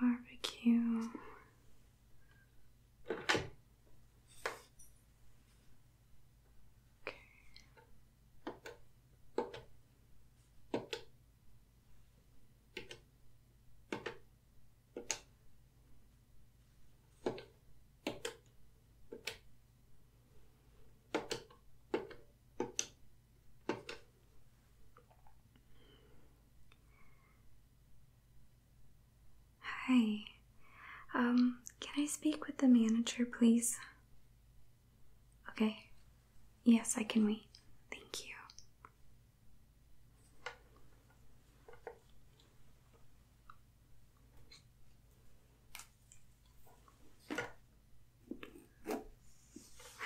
Barbecue. Okay. Hi. Um, can I speak with the manager, please? Okay? Yes, I can wait. Thank you.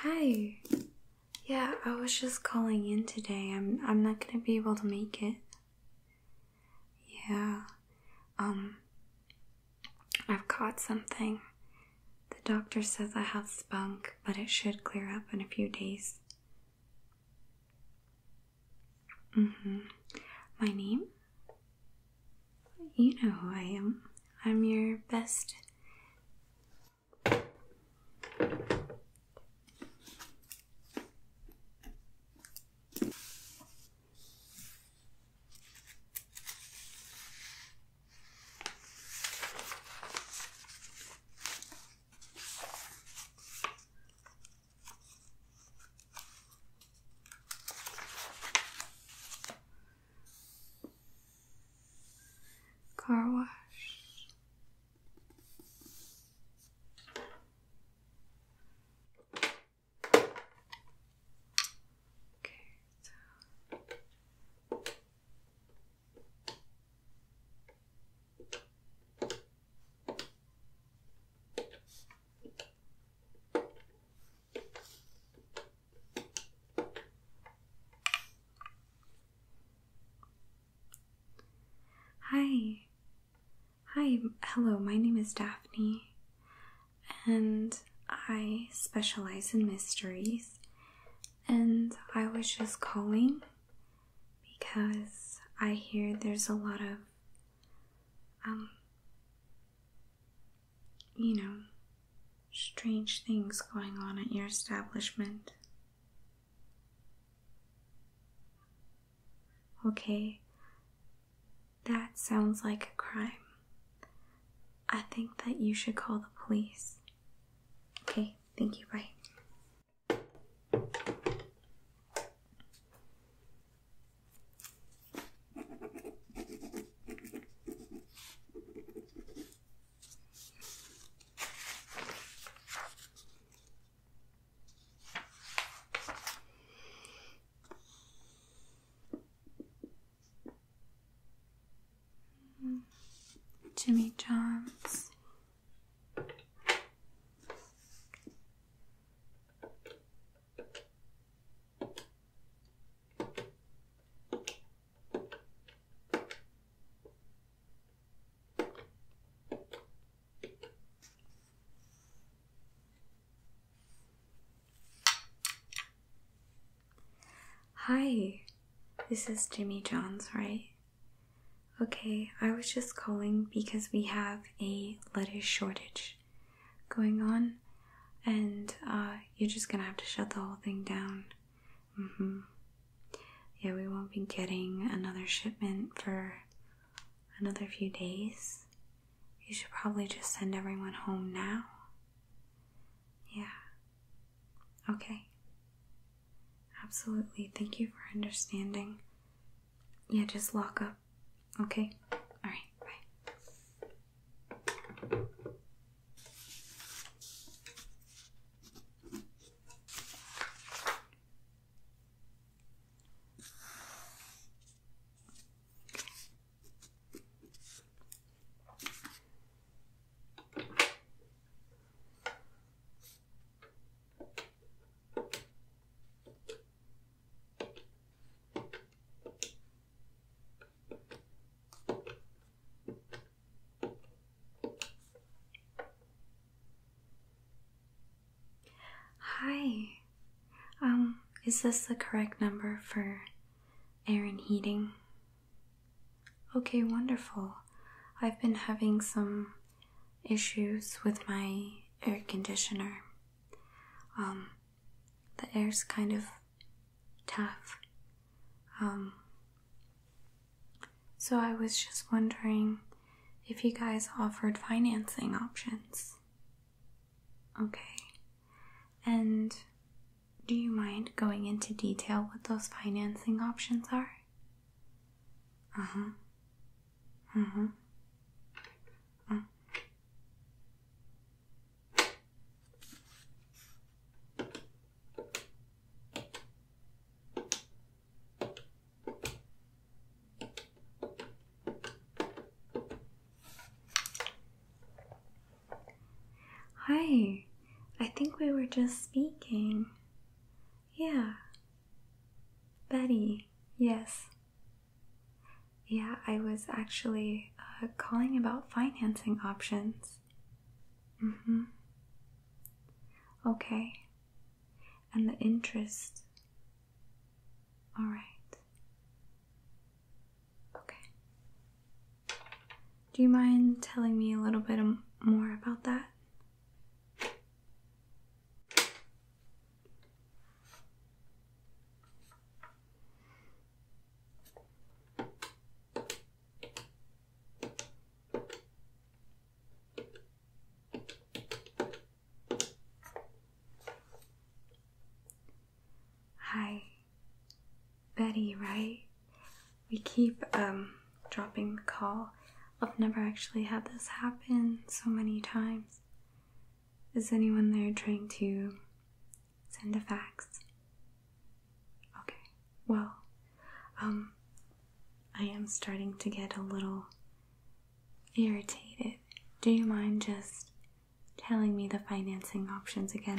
Hi. Yeah, I was just calling in today. I'm I'm not going to be able to make it. Yeah. Um I've caught something. The doctor says I have spunk, but it should clear up in a few days. Mm-hmm. My name? You know who I am. I'm your best. Car wash. Okay, so Hi. Hi, hello. My name is Daphne, and I specialize in mysteries, and I was just calling because I hear there's a lot of, um, you know, strange things going on at your establishment. Okay, that sounds like a crime. I think that you should call the police. Okay, thank you. Bye. Jimmy John's. Hi, this is Jimmy John's, right? Okay, I was just calling because we have a lettuce shortage going on, and uh, you're just gonna have to shut the whole thing down. Mm hmm. Yeah, we won't be getting another shipment for another few days. You should probably just send everyone home now. Yeah. Okay. Absolutely. Thank you for understanding. Yeah, just lock up. Okay? Alright, bye. Hi. Um, is this the correct number for Aaron Heating? Okay, wonderful. I've been having some issues with my air conditioner. Um, the air's kind of tough. Um, so I was just wondering if you guys offered financing options. Okay. And do you mind going into detail what those financing options are? Uh huh. Uh huh. Uh. Hi, I think we were just speaking. Yeah. Betty, yes. Yeah, I was actually uh, calling about financing options. Mm hmm. Okay. And the interest. Alright. Okay. Do you mind telling me a little bit more about that? Hi, Betty, right? We keep um, dropping the call. I've never actually had this happen so many times. Is anyone there trying to send a fax? Okay, well, um, I am starting to get a little irritated. Do you mind just telling me the financing options again?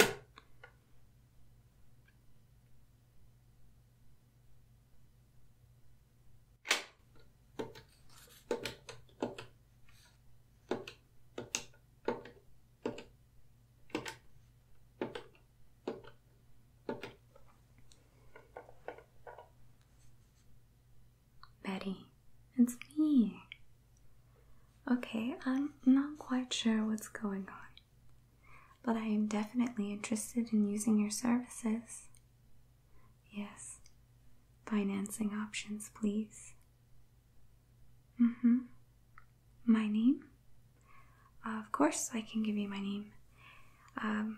Betty, it's me. Okay, I'm not quite sure what's going on but I am definitely interested in using your services. Yes, financing options, please. Mm hmm. My name? of course, I can give you my name. Um,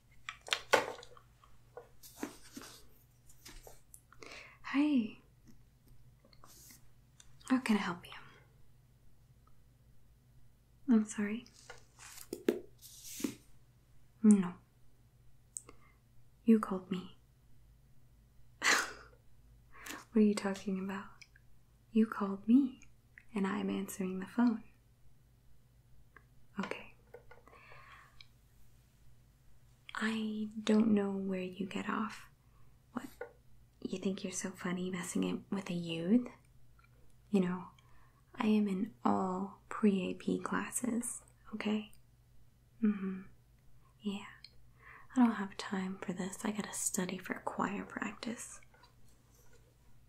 Hi. How can I help you? I'm sorry. No. You called me. what are you talking about? You called me, and I'm answering the phone. Okay. I don't know where you get off. What? You think you're so funny messing it with a youth? You know, I am in all pre AP classes, okay? Mm hmm. Yeah. I don't have time for this. I gotta study for choir practice.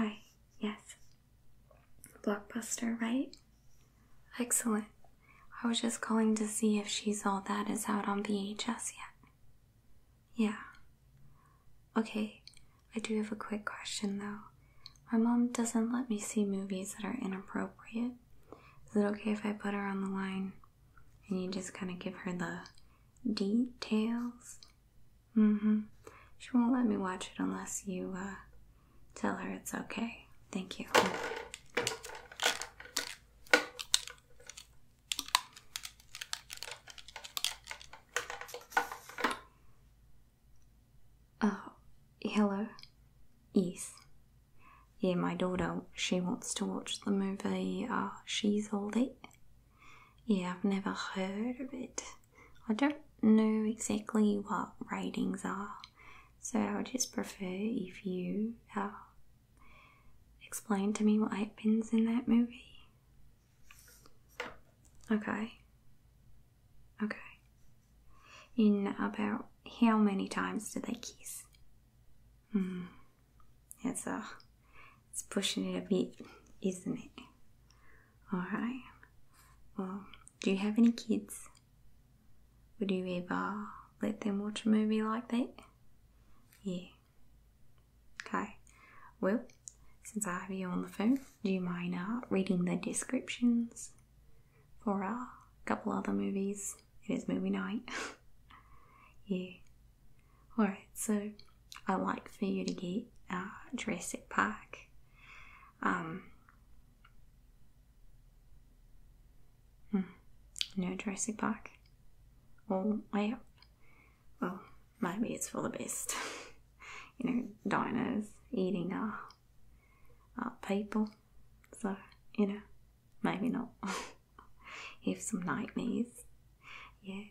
Hi, yes. Blockbuster, right? Excellent. I was just calling to see if She's All That is out on VHS yet. Yeah. Okay, I do have a quick question though. My mom doesn't let me see movies that are inappropriate. Is it okay if I put her on the line and you just kind of give her the details? Mm hmm. She won't let me watch it unless you uh, tell her it's okay. Thank you. Oh, hello. Yes. Yeah, my daughter, she wants to watch the movie uh, She's old That. Yeah, I've never heard of it. I don't know exactly what ratings are, so I would just prefer if you uh, explain to me what happens in that movie? Okay. Okay. In about how many times do they kiss? Hmm. It's a, it's pushing it a bit, isn't it? All right. Well, do you have any kids? Would you ever let them watch a movie like that? Yeah. Okay, well, since I have you on the phone, do you mind uh, reading the descriptions for a couple other movies? It is movie night. yeah. Alright, so I like for you to get uh, Jurassic Park. Um, hmm, no Jurassic Park. Well, I well, maybe it's for the best. you know, diners eating our, uh, our uh, people, so you know, maybe not. Have some nightmares, yeah.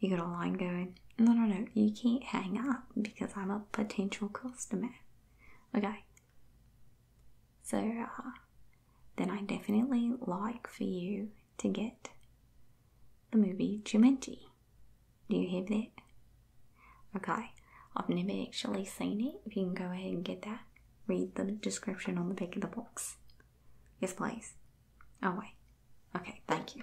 You got a line going. No, no, no, you can't hang up because I'm a potential customer. Okay. So, uh, then I definitely like for you to get the movie Jumanji. Do you have that? Okay, I've never actually seen it. If you can go ahead and get that, read the description on the back of the box. Yes, please. Oh, wait. Okay, thank you.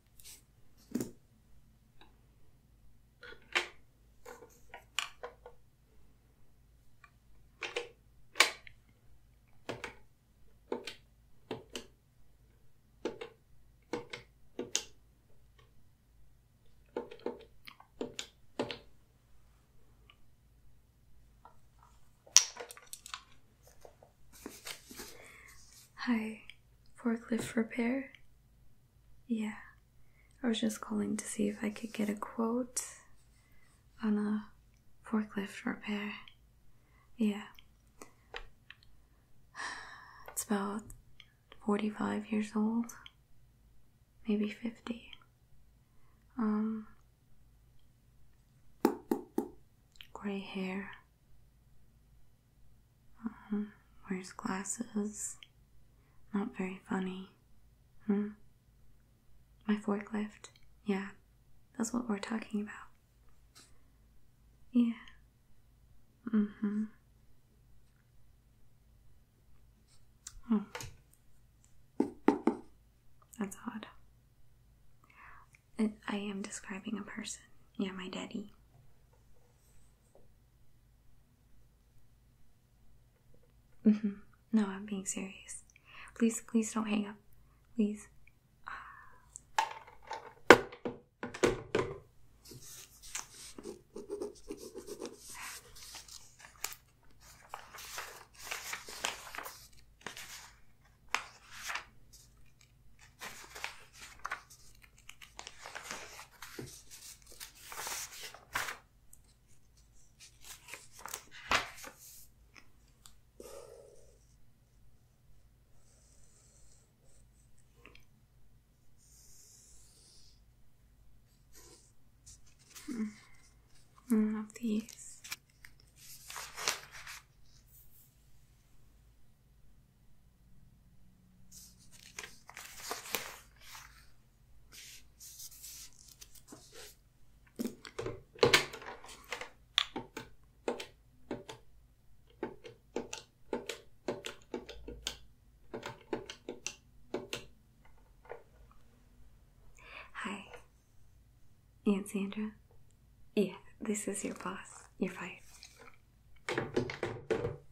Hi, forklift repair. Yeah, I was just calling to see if I could get a quote on a forklift repair. Yeah, it's about 45 years old, maybe 50. Um, gray hair, uh, wears glasses. Not very funny. Hmm. My forklift? Yeah, that's what we're talking about. Yeah. Mm-hmm. hmm. That's odd. I am describing a person. Yeah, my daddy. Mm-hmm. No, I'm being serious. Please, please don't hang up. Please. Hmm. I love these. Hi, Aunt Sandra. Yeah, this is your boss. You're fired.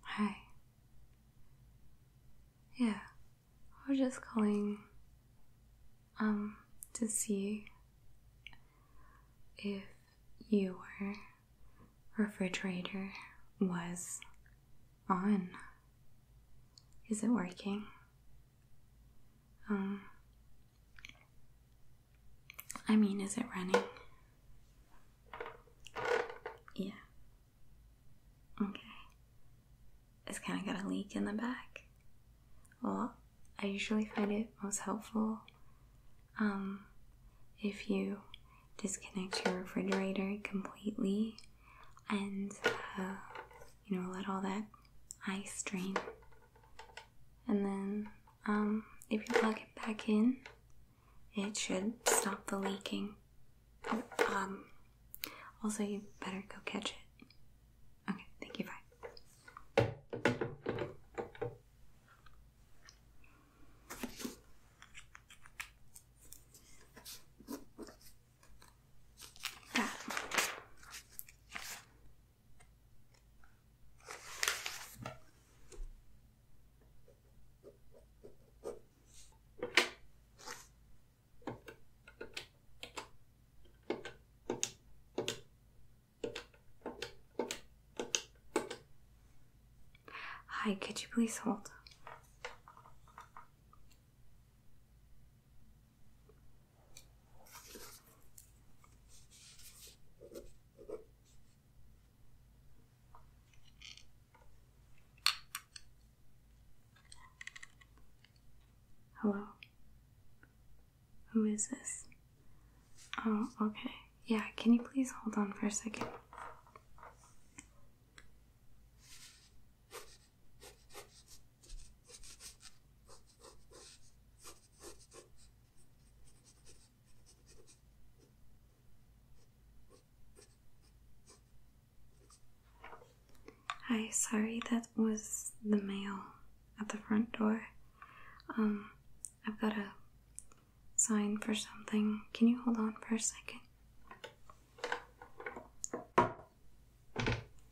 Hi. Yeah, I was just calling um to see if your refrigerator was on. Is it working? Um, I mean, is it running? Yeah. Okay. It's kind of got a leak in the back. Well, I usually find it most helpful um, if you disconnect your refrigerator completely and uh, you know, let all that ice drain. And then um, if you plug it back in, it should stop the leaking. um, also, you better go catch it. Okay, thank you, bye. Hi, could you please hold? Hello? Who is this? Oh, okay. Yeah, can you please hold on for a second? Hi, sorry, that was the mail at the front door. Um, I've got a sign for something. Can you hold on for a second?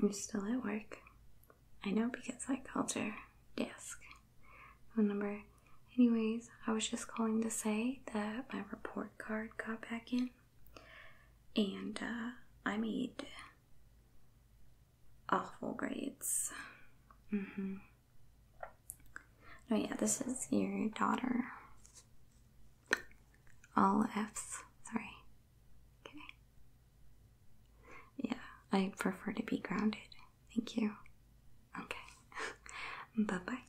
I'm still at work. I know because I called your desk phone number. Anyways, I was just calling to say that my report card got back in and uh, I made awful grades. Mm-hmm. Oh, yeah, this is your daughter all F's. Sorry. Okay. Yeah, I prefer to be grounded. Thank you. Okay. bye bye.